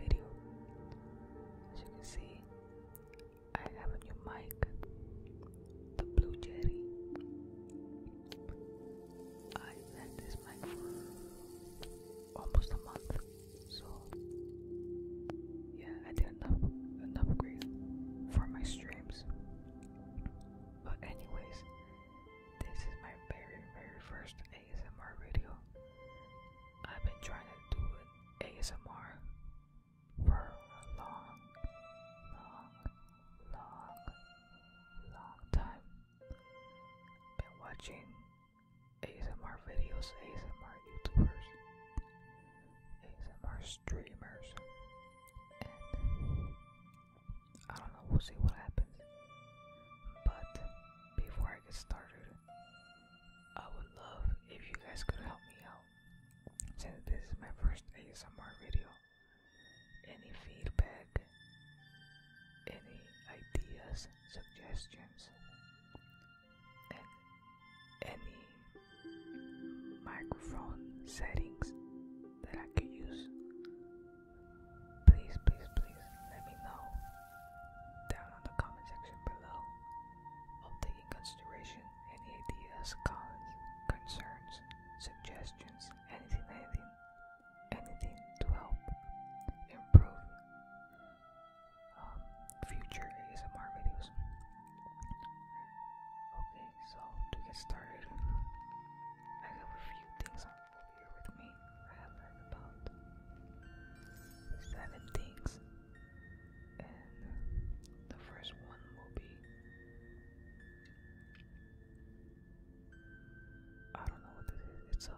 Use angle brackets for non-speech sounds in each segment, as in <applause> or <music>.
video. As you can see, I have a new mic, the Blue Jerry. I've had this mic for almost a month, so yeah, I did enough an upgrade for my streams. But anyways, this is my very very first ASMR video. I've been trying to do an ASMR for a long, long, long, long time. Been watching ASMR videos, ASMR YouTubers, ASMR streamers, I don't know, we'll see what happens. But before I get started, I would love if you guys could help me out since this is my first ASMR video. Any feedback, any ideas, suggestions, and any microphone settings that I could use please, please, please let me know down in the comment section below. I'll take in consideration any ideas, comments, concerns, suggestions, anything, anything, anything to help improve um, future ASMR videos. Okay, so to get started, I have a few things bear with me. I have about seven things, and the first one will be I don't know what this It's a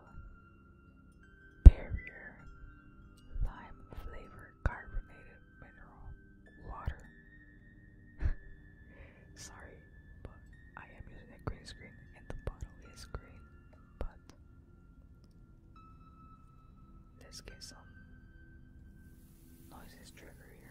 barrier lime flavored carbonated mineral water. Sorry, but I am using a green screen and the bottle is green but let's get some noises trigger here.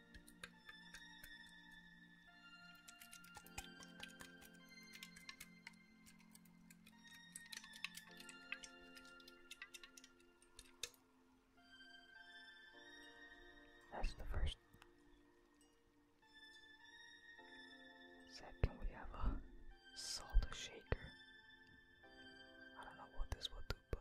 That's the first. Second, we have a salt shaker. I don't know what this will do, but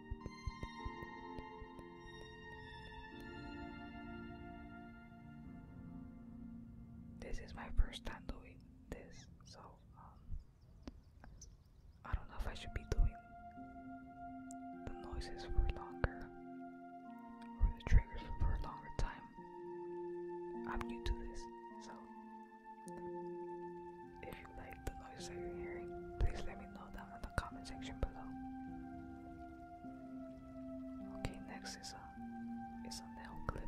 This is my first time doing this, so um, I don't know if I should be doing the noises for longer or the triggers for a longer time. I'm new to this, so like the noise that you're hearing, please let me know down in the comment section below. Okay, next is a uh, is a nail clipper.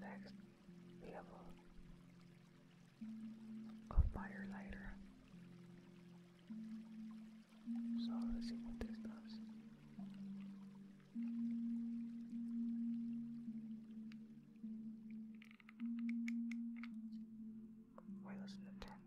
next level of Firelighter. So let's see what this does. Why doesn't it turn?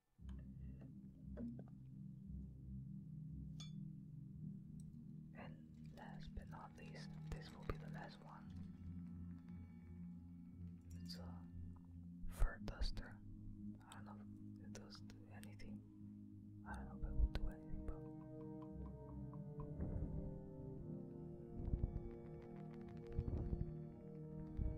And last but not least, this will be the last one. It's a fur duster. I don't know if it does do anything. I don't know if it will do anything, but.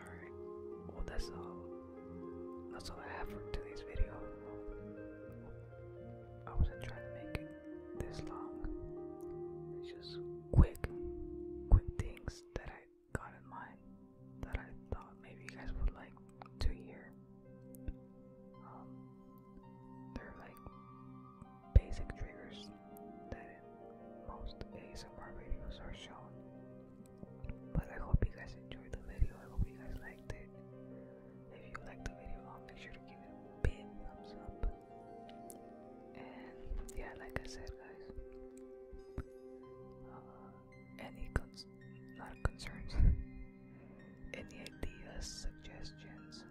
Alright. Well that's all. That's all I have for today's video. I wasn't trying to make it this long. It's just quick, quick things that I got in mind that I thought maybe you guys would like to hear. Um, they're like basic triggers that in most ASMR videos are shown. But I hope you guys enjoyed the video. I hope you guys liked it. If you liked the video, I'll make sure to give it a big thumbs up. And yeah, like I said, guys, uh, any concerns, <laughs> any ideas, suggestions,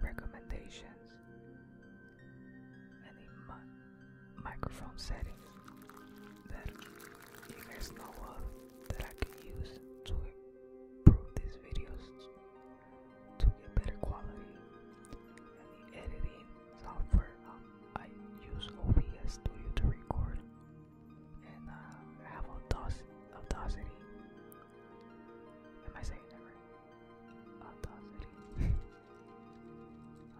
recommendations, any microphone settings that you guys know of that I can use to improve these videos to get better quality. And editing software um, I use OBS Studio to record, and uh, have Audacity. Audacity. Am I saying that right? <laughs>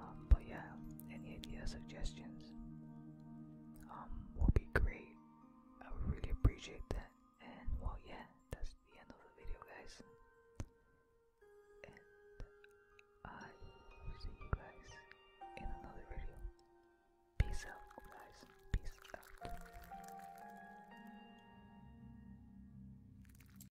Um, but yeah, any ideas, suggestions um, would be great. I would really appreciate that. And well, yeah, that's the end of the video, guys. And I will see you guys in another video. Peace out, guys. Peace out.